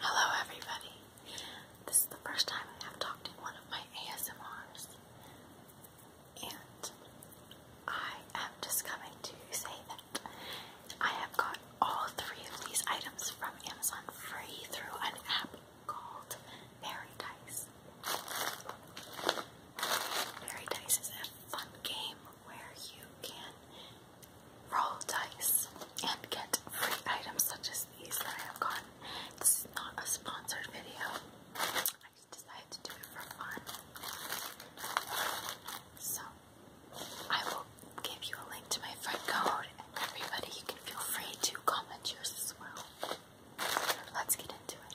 Hello, everybody. This is the first time I've talked to one of my ASMRs, and I am just coming to say that I have got all three of these items from Amazon free through an app called Paradise. Paradise is a fun game where you can roll dice and get free items such as these that I have gotten. This is not a sponsored video. I just decided to do it for fun. So I will give you a link to my friend code and everybody you can feel free to comment yours as well. Let's get into it.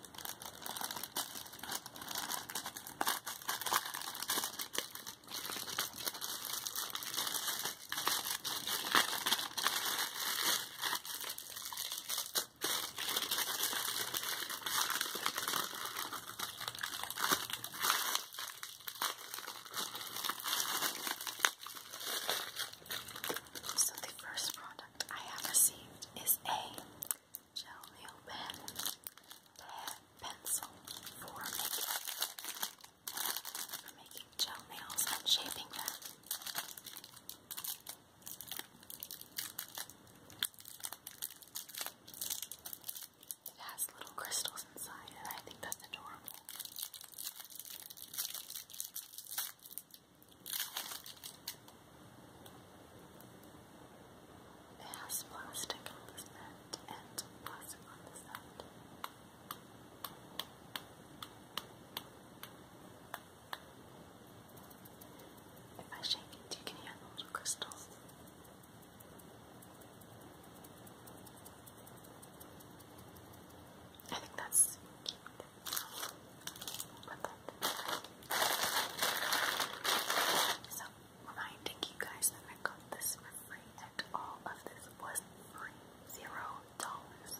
So the first product I have received is a gel nail pen, pad, pencil for making, for making gel nails and shaping them. It has little crystals inside, and I think that's adorable has plastic on this end and plastic on this end. If I shake it, you can hear the crystals. I think that's cute. So, reminding you guys that I got this for free and all of this was free. Zero dollars.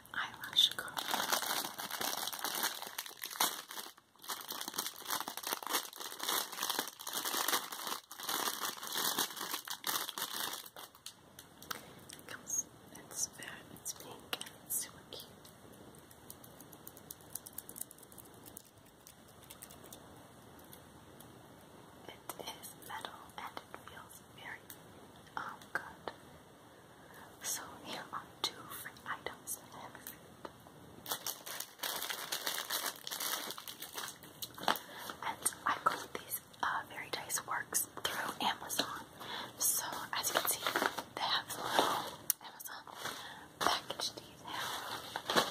an eyelash curl. It comes, it's very, pink and super cute. It is metal and it feels very oh, good. So here are two items And I got these Very uh, Dice Works through Amazon. So as you can see, they have a little Amazon package detail.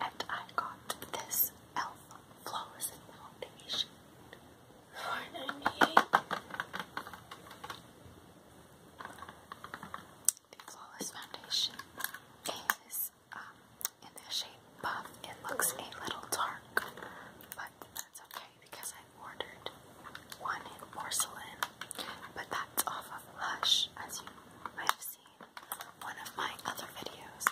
And I got this e.l.f. Flawless Foundation for 98 The Flawless Foundation is um, in the shade Buff. It looks a little dark, but that's okay because I ordered one in porcelain, but that that's off of Lush, as you might have seen one of my other videos.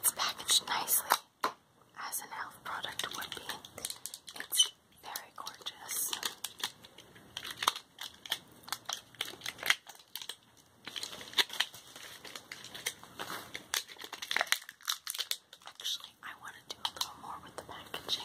It's packaged nicely as an elf product would be. It's very gorgeous. Actually, I want to do a little more with the packaging.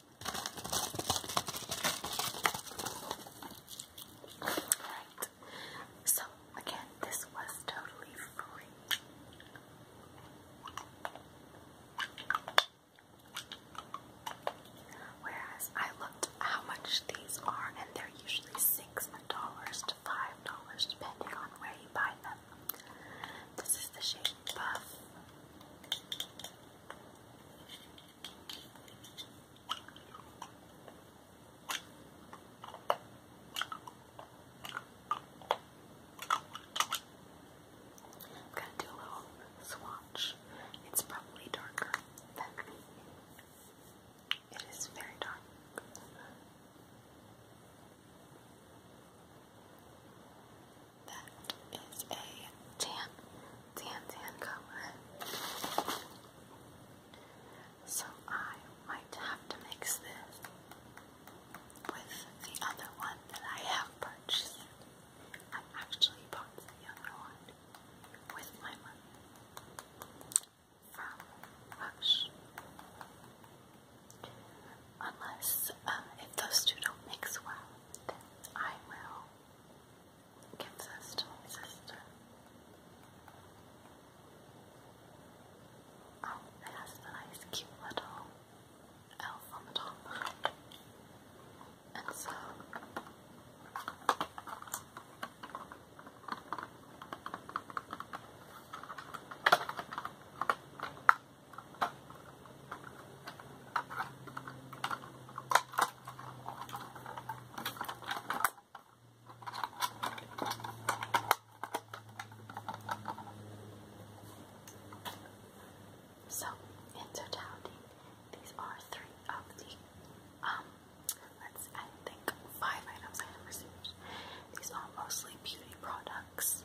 Alright, so again, this was totally free. Whereas I looked how much these are, and they're usually six dollars to five dollars depending on where you buy them. This is the shade Buff. I'm going to do a little swatch. It's probably darker than It is very dark that is a tan, tan, tan color. So I might have to mix this with the other one that I have purchased. I actually bought the other one with my money from Hush unless um, if those two don't mix well, then I will give this to my sister. Oh, it has the nice cute little elf on the top. And so so, in totality, these are three of the, um, let's, I think, five items I have received. These are mostly beauty products.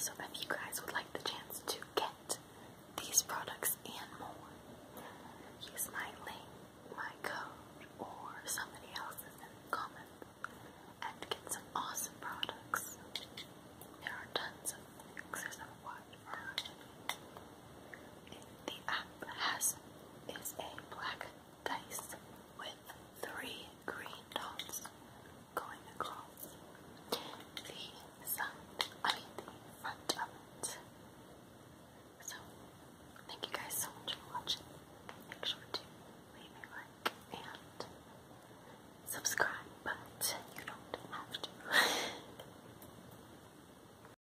So, if you guys would like the chance to get these products and more, use my link, my code, or somebody else's and get some awesome products. There are tons of things. There's a the app has is a black dice with three green dots going across the side, I the front of it. So, thank you guys so much for watching. Make sure to leave a like and subscribe, but you don't have to.